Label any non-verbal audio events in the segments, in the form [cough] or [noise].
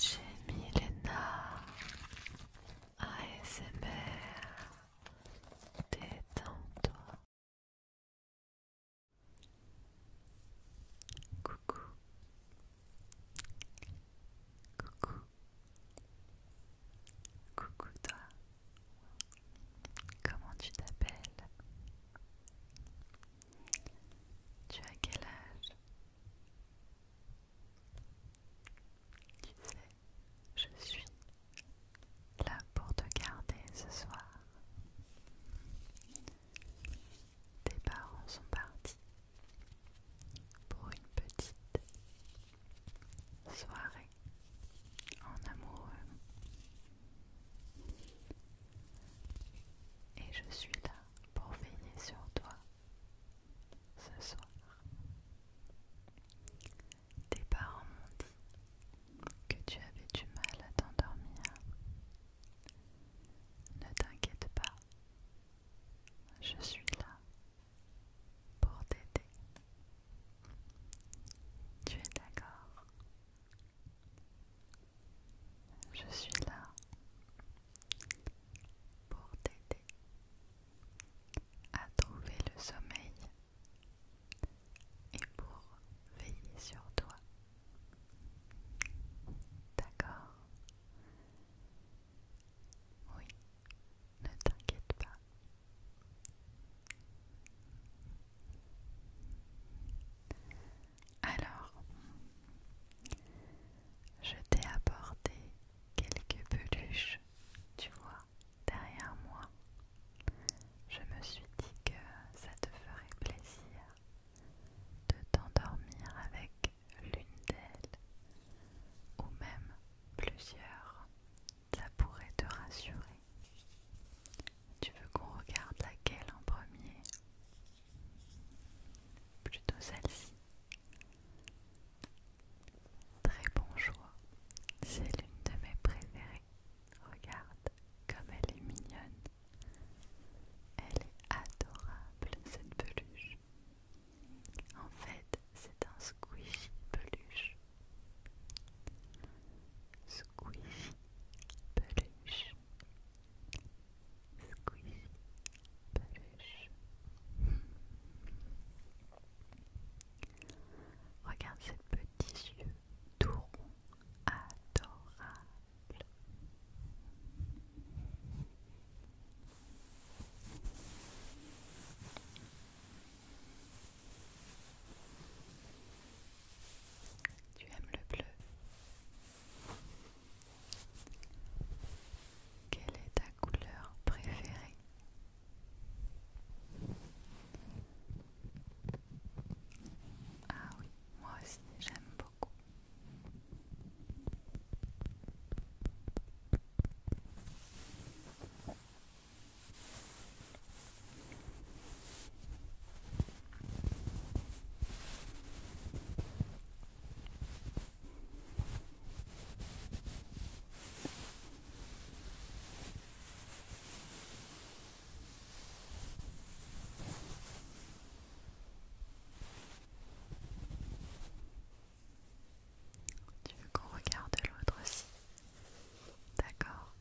Jamie ASMR Détends-toi Coucou Coucou Coucou toi Comment tu t'appelles Tu as quel âge tu sais, je suis là pour te garder ce soir. Tes parents sont partis pour une petite soirée en amoureux. Et je suis là pour veiller sur toi ce soir. Tes parents m'ont dit que tu avais du mal à t'endormir. Ne t'inquiète pas, je suis là pour t'aider. Tu es d'accord Je suis là pour t'aider à trouver le sommeil et pour veiller sur toi. D'accord Oui, ne t'inquiète pas. Alors, je t'ai apporté quelques peluches, tu vois, derrière moi. Je me suis dit que ça te ferait plaisir de t'endormir avec l'une d'elles, ou même plusieurs. Ça pourrait te rassurer. Tu veux qu'on regarde laquelle en premier Plutôt celle-ci. Très bon choix. C'est l'une de mes préférées. Regarde comme elle est mignonne. Elle est adorable cette peluche. En fait, c'est un squishy peluche. Squishy peluche. Regarde ces petits yeux tout adorables. Tu aimes le bleu quelle est ta couleur préférée Ah oui, moi aussi j'aime beaucoup. Tu veux qu'on regarde l'autre aussi D'accord.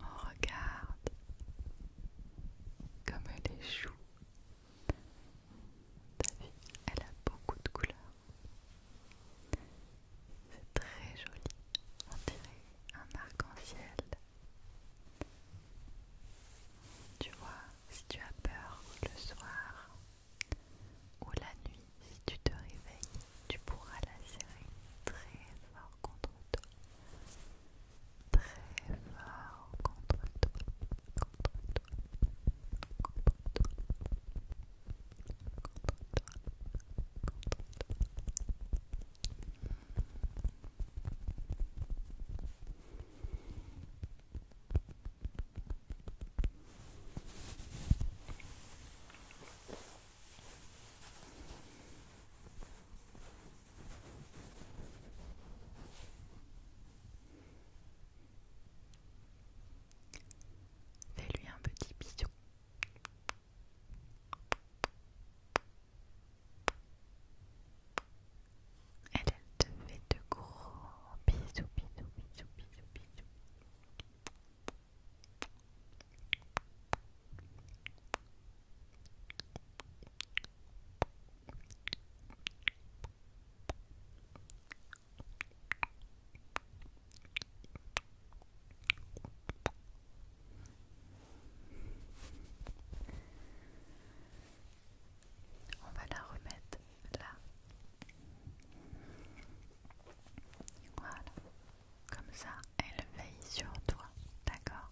On regarde comme elle est chou. elle a beaucoup de couleurs. C'est très joli. On dirait un arc-en-ciel. Tu vois, si tu as peur le soir ou la nuit, si tu te réveilles, tu pourras la serrer très fort contre toi très fort contre toi, Fais-lui un petit bisou. Elle, devait te de gros bisous, bisous, bisous, bisous, bisous. On va la remettre là. Voilà. Comme ça, elle veille sur toi. D'accord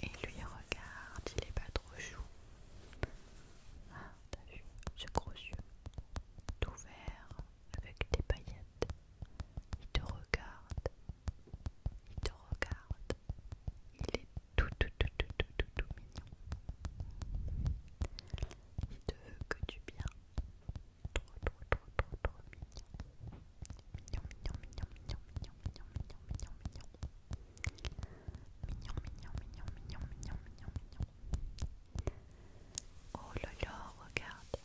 et lui regarde, il est pas trop chou. Ah, t'as vu ce gros yeux tout vert avec des paillettes. Il te regarde, il te regarde, il est tout, tout, tout, tout, tout, tout, mignon. Il te veut que tu bien. Trop, trop, trop, trop, trop mignon. Mignon, mignon, mignon, mignon, mignon, mignon, mignon, mignon, mignon. Mignon, mignon, mignon, mignon, mignon, mignon, mignon. Oh là regarde.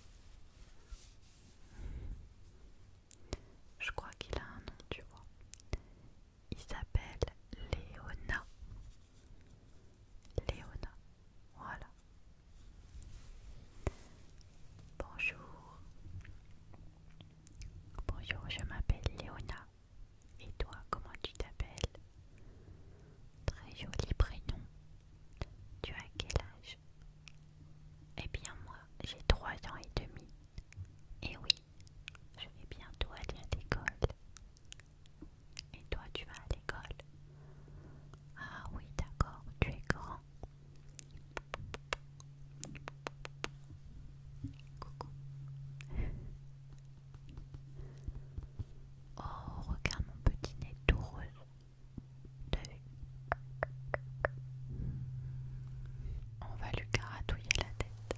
Je crois qu'il a un nom, tu vois il s'appelle Léona. Léona, voilà. Bonjour. Bonjour, je m'appelle Léona. Et toi, comment tu t'appelles Très joli prénom. Tu as quel âge Eh bien moi, j'ai trois ans et demi. Et eh oui, je vais bientôt aller à l'école. Et toi, tu vas à l'école Ah oui, d'accord, tu es grand. Coucou. Oh, regarde mon petit nez tout vu On va lui caratouiller la tête.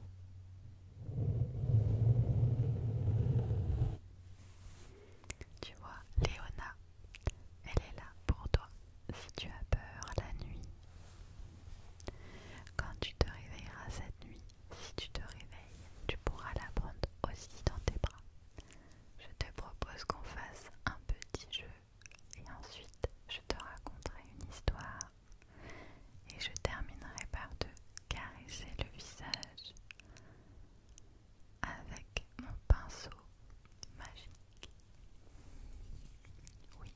Tu vois, Léona, elle est là pour toi si tu as peur la nuit. Quand tu te réveilleras cette nuit, si tu te réveilles, tu pourras la prendre aussi dans tes bras. Je te propose qu'on fasse un petit jeu et ensuite je te raconterai une histoire et je terminerai par te caresser le visage avec mon pinceau magique. Oui,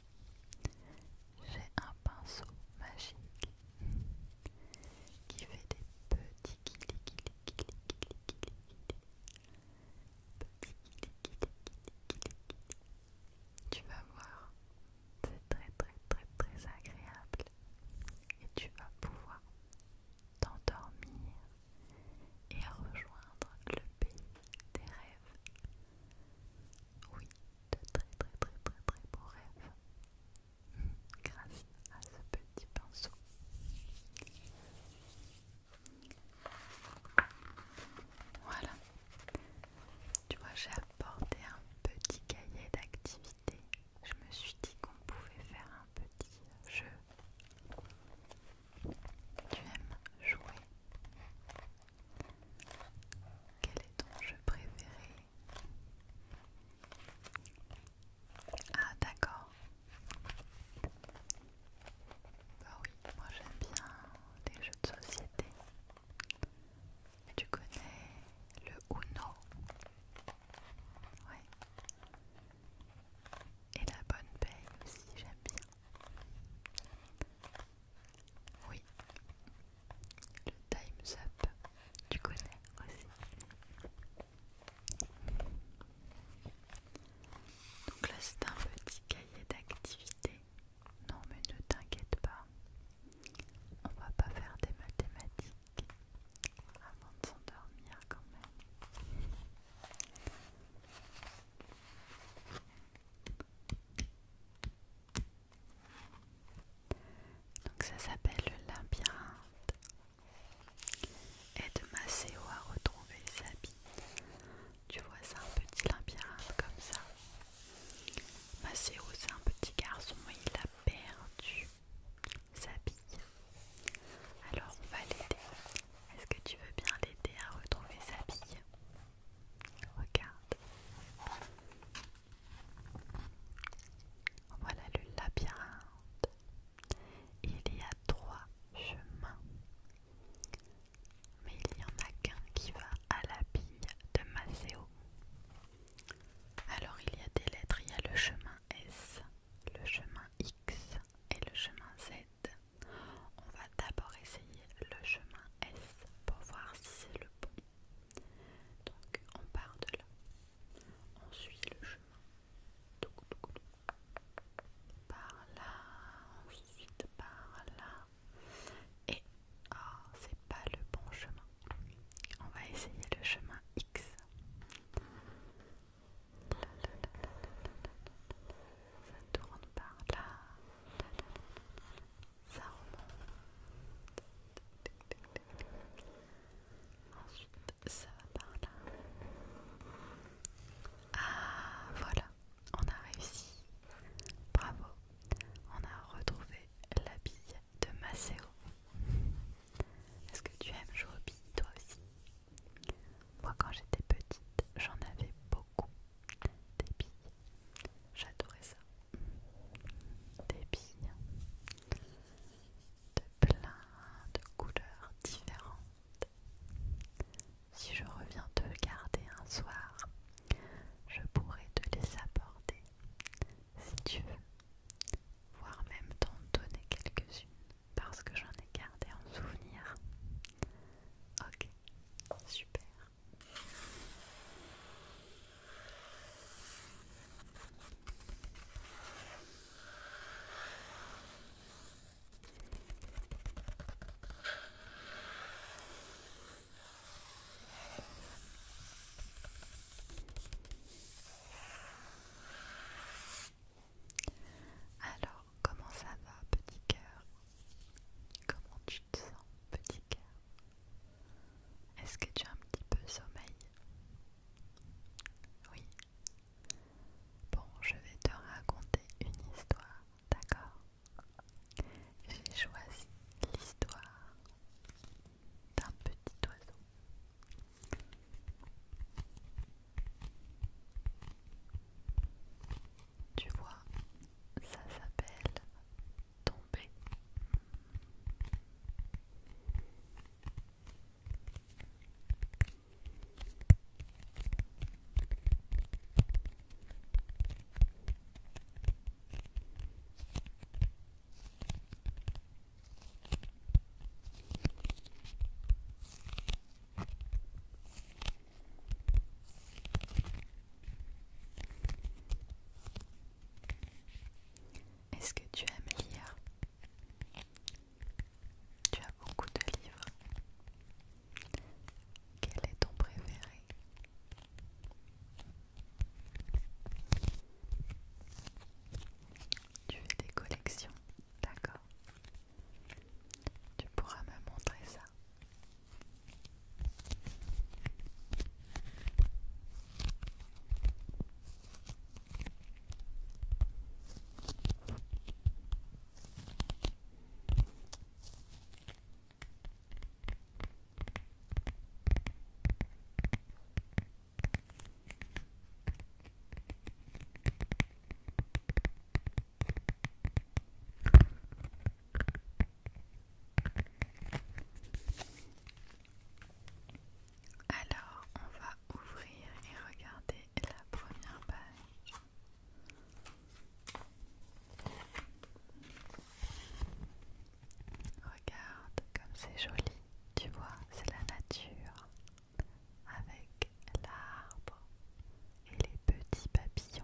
j'ai un pinceau magique qui fait des petits Tu vas voir, c'est très très très très agréable et tu vas pouvoir t'endormir et rejoindre le pays des rêves. Oui, de très très très très très beaux rêves [laughs] grâce à ce petit pinceau. Voilà, tu vois, j'ai apporté un petit cahier d'activité. Je me suis dit qu'on pouvait faire un petit jeu. Tu aimes jouer Quel est ton jeu préféré Ah d'accord. Bah oui, moi j'aime bien les jeux de société. Tu connais le Uno oui, Et la bonne paye aussi, j'aime bien. Oui. Le Time's Up, tu connais aussi. Donc là, c'est un petit cahier d'activités non mais ne t'inquiète pas, on va pas faire des mathématiques avant de s'endormir quand même. Donc ça s'appelle le labyrinthe. Aide a à retrouver sa bille. Tu vois, ça, un petit labyrinthe comme ça. Maceo c'est un petit garçon et il a perdu sa bille. Alors on va l'aider. Est-ce que tu veux bien l'aider à retrouver sa bille Regarde. Voilà le labyrinthe. Il y a trois chemins mais il y en a qu'un qui va à la bille de Maceo. Alors il y a des lettres, il y a le chemin S, le chemin X et le chemin Z. On va d'abord essayer le chemin S pour voir si c'est le bon. Donc on part de là, on suit le chemin. Par là, ensuite par là, et oh, c'est pas le bon chemin. On va essayer le chemin X. Ça tourne par là. Ça remonte. Ensuite, ça va par là. Ah, voilà, on a réussi. Bravo on a retrouvé la bille de Maceo. Est-ce que tu aimes jouer aux toi aussi Moi quand j'étais petite, j'en avais beaucoup. Des billes. J'adorais ça. Des billes de plein de couleurs différentes. Si je reviens te garder un soir, je pourrais te les apporter si tu veux, voire même t'en donner quelques-unes parce que j'en ai gardé en souvenir. Ok, super. Alors, comment ça va, petit cœur Comment tu te sens, petit cœur Est-ce que tu as un petit peu sommeil Oui. Bon, je vais te raconter une histoire, d'accord j'ai choisi l'histoire d'un petit oiseau. Tu vois, ça s'appelle tomber. Est-ce que tu aimes lire Tu as beaucoup de livres. Quel est ton préféré tu fais des collections, d'accord Tu pourras me montrer ça. Alors, on va ouvrir et regarder la première page. Regarde comme c'est joli, tu vois, c'est la nature avec l'arbre et les petits papillons.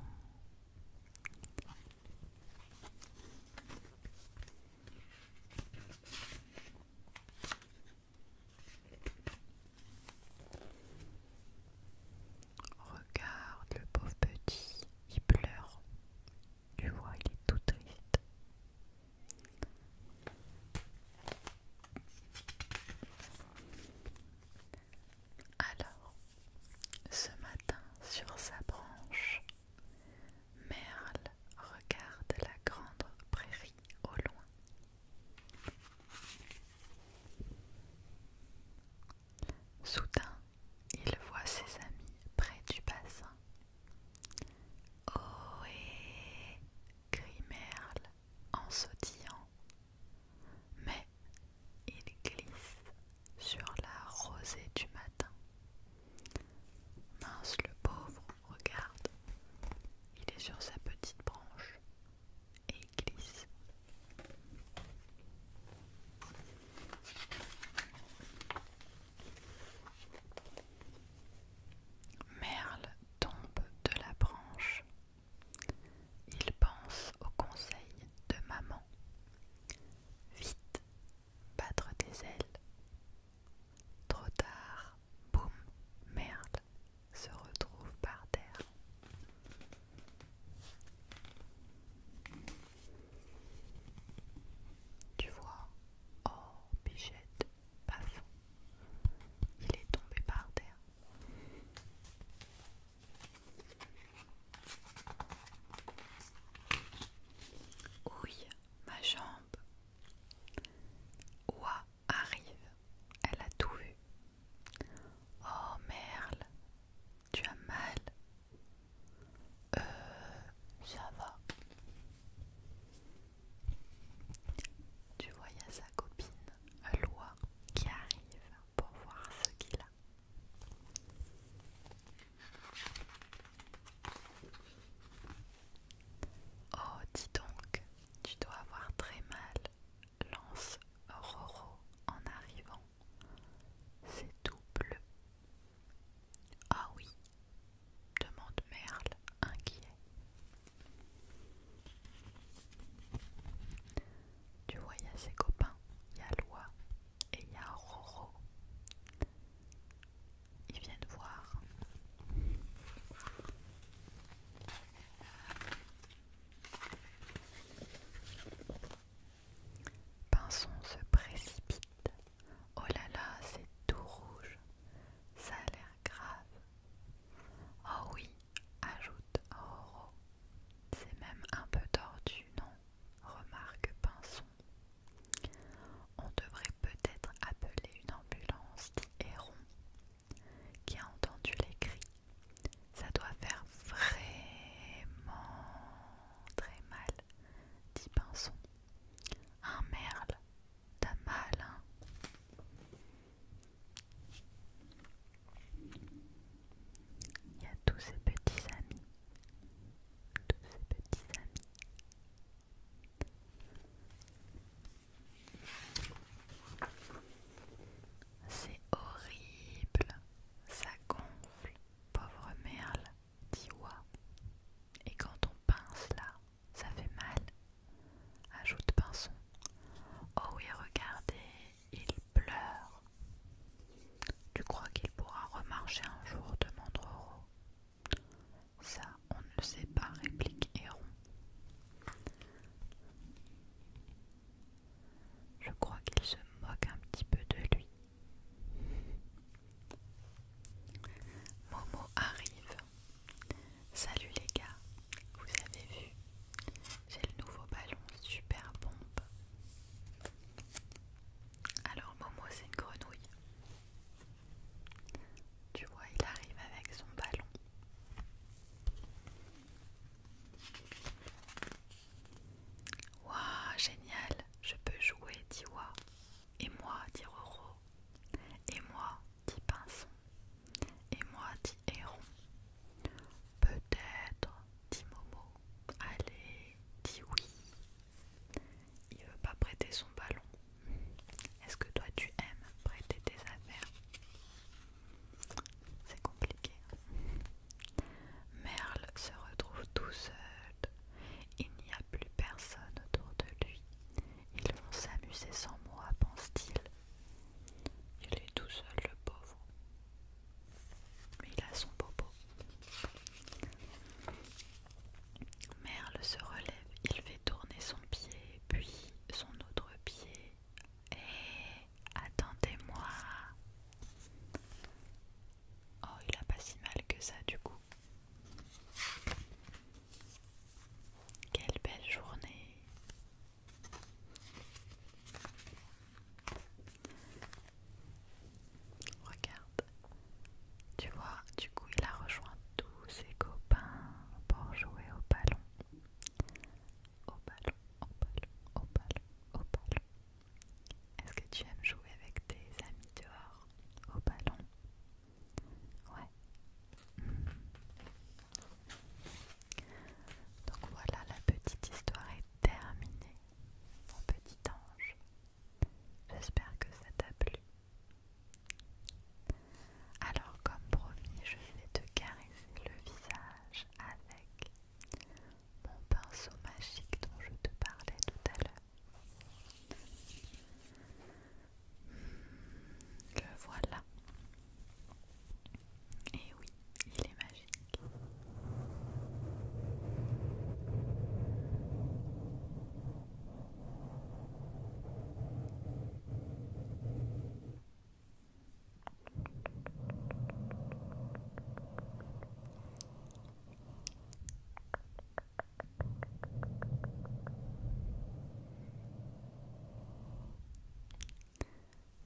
Regarde le pauvre petit, il pleure, tu vois, il est tout triste. Alors, ce matin, sur sa branche, Merle regarde la grande prairie au loin. Soudain, il voit ses amis près du bassin. Ohé grimerle Merle en sautillant. Mais il glisse sur la rosée du matin. Mince le pauvre, regarde. Il est sur sa petite branche et il glisse. Merle tombe de la branche. Il pense au conseil de maman. Vite, battre tes ailes. Trop tard, boum, Merle se retrouve par terre. Tu vois Oh, Bichette, passe. Il est tombé par terre. Oui, ma jambe. Oua arrive. Elle a tout vu. Oh, merle, tu as mal Euh, ça va. Tu vois, il y a sa copine, Loi, qui arrive pour voir ce qu'il a. Oh, dis donc, tu dois avoir très mal, lance Roro en arrivant. C'est tout bleu ah oui demande Merle, inquiet. Tu vois, il y a ses copains, il y a Loi et il y a Roro. Ils viennent voir. Pinson se précipite. Oh là là, c'est tout rouge. Ça a l'air grave. Oh oui, ajoute Auro. C'est même un peu tordu, non remarque Pinson. On devrait peut-être appeler une ambulance, dit Héron, qui a entendu les cris. Ça doit faire vraiment très mal, dit Pinson. Un merle t'as mal. Il y a tous ses petits amis. Tous ses petits amis. C'est horrible, ça gonfle, pauvre merle. Diwa. Et quand on pince là, ça fait mal, ajoute Pinson. Oh oui, regardez, il pleure. Tu crois qu'il pourra remarcher un jour demande Roro. Ça, on ne le sait pas, réplique Héron. Je crois qu'il se moque un petit peu de lui, Momo arrive. Salut les gars, vous avez vu J'ai le nouveau ballon super bombe Alors Momo c'est une grenouille. Tu vois, il arrive avec son ballon. Waouh, génial, je peux jouer, Tiwa. Et moi, dit Roro. Et moi, dit Pinson. Et moi, dit Héron. Peut-être, dit Momo. Allez, dit oui. Il veut pas prêter son ballon. Est-ce que toi tu aimes prêter tes affaires C'est compliqué. Hein. Merle se retrouve tout seul. Il n'y a plus personne autour de lui. Ils vont s'amuser sans moi, pense-t-il. Il est tout seul, le pauvre. Mais il a son bobo. Merle se relève, il fait tourner son pied, puis son autre pied. Et eh, attendez-moi. Oh, il a pas si mal que ça du coup. Quelle belle journée. Regarde. Tu vois, du coup, il a rejoint tous ses copains pour jouer au ballon. Au ballon, au ballon, au ballon, au ballon. Est-ce que tu aimes jouer avec tes amis dehors au ballon. Ouais. Donc voilà, la petite histoire est terminée, mon petit ange. J'espère que ça t'a plu. Alors comme promis, je vais te caresser le visage avec mon pinceau magique dont je te parlais tout à l'heure. Le voilà. Et oui, il est magique.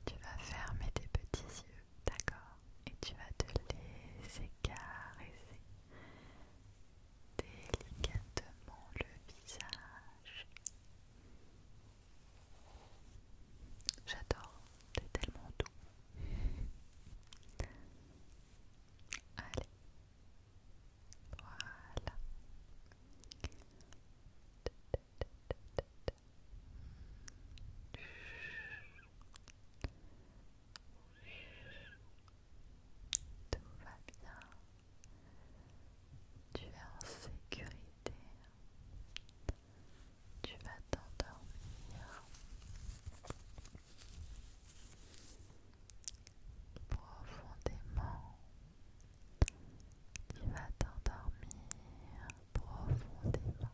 Tu vas fermer tes petits yeux, d'accord Et tu vas te laisser caresser délicatement le visage. J'adore, t'es tellement doux. Allez, voilà. Tout va bien. Tu es en sécurité. Tu vas t'endormir profondément. il va t'endormir profondément.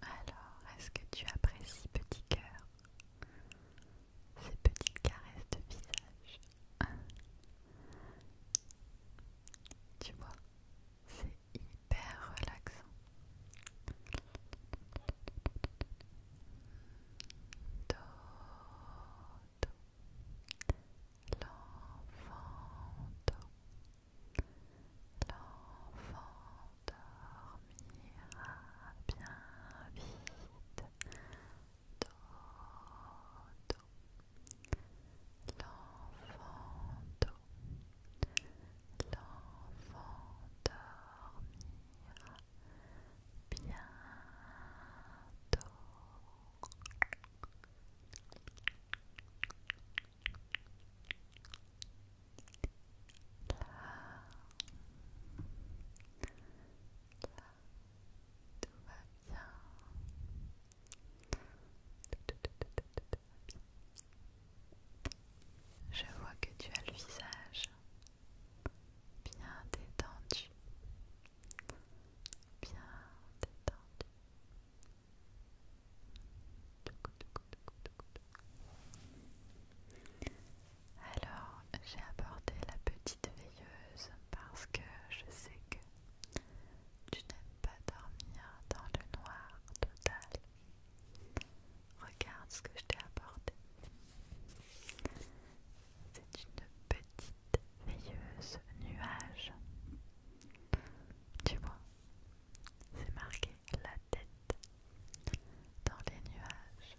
Alors, est-ce que tu apprécies, petit cœur, ces petites caresses de visage Tu vois, c'est hyper relaxant l'enfant dormira bien vite, dodo, l'enfant do, l'enfant dormira bientôt tout va bien. Je vois que tu as le visage bien détendu bien détendu. Alors, j'ai apporté la petite veilleuse parce que je sais que tu n'aimes pas dormir dans le noir total. Regarde ce que je t'ai apporté. C'est une petite petite veilleuse nuage. Tu vois, c'est marqué la tête dans les nuages.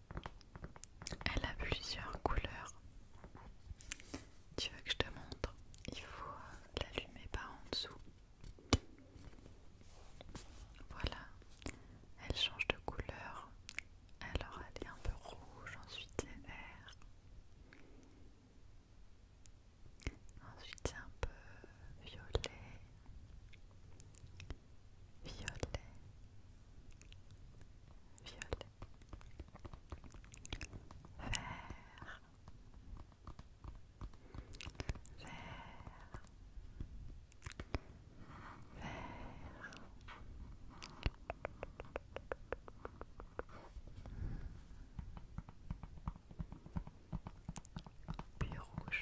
Elle a plusieurs couleurs. Tu veux que je te montre Il faut l'allumer par en dessous. Voilà, elle change de couleur. Alors elle est un peu rouge, ensuite c'est vert. Ensuite c'est un peu violet violet, violet, vert, vert, vert. Puis rouge,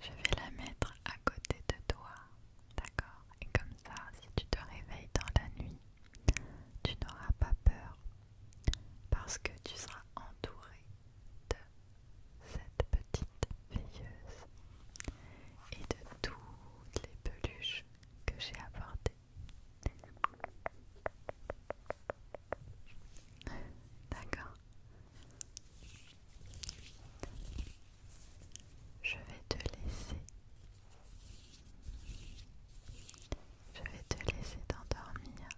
Je vais la mettre à côté de toi, d'accord Et comme ça, si tu te réveilles dans la nuit, tu n'auras pas peur parce que tu seras entouré de cette petite veilleuse et de toutes les peluches que j'ai apportées. D'accord je vais te laisser. Je vais te laisser t'endormir.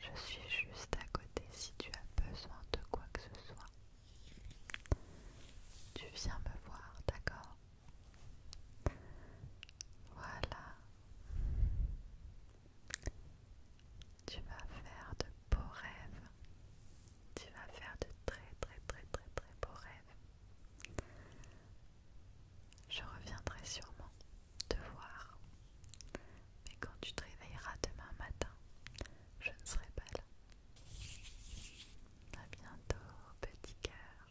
Je suis juste à côté si tu as besoin de quoi que ce soit. Tu viens me voir, d'accord Voilà. Tu vas faire de beaux rêves. Tu vas faire de très très très très très beaux rêves. Je reviendrai sûrement te voir. Mais quand tu te réveilleras demain matin, je ne serai pas là. A bientôt, petit cœur.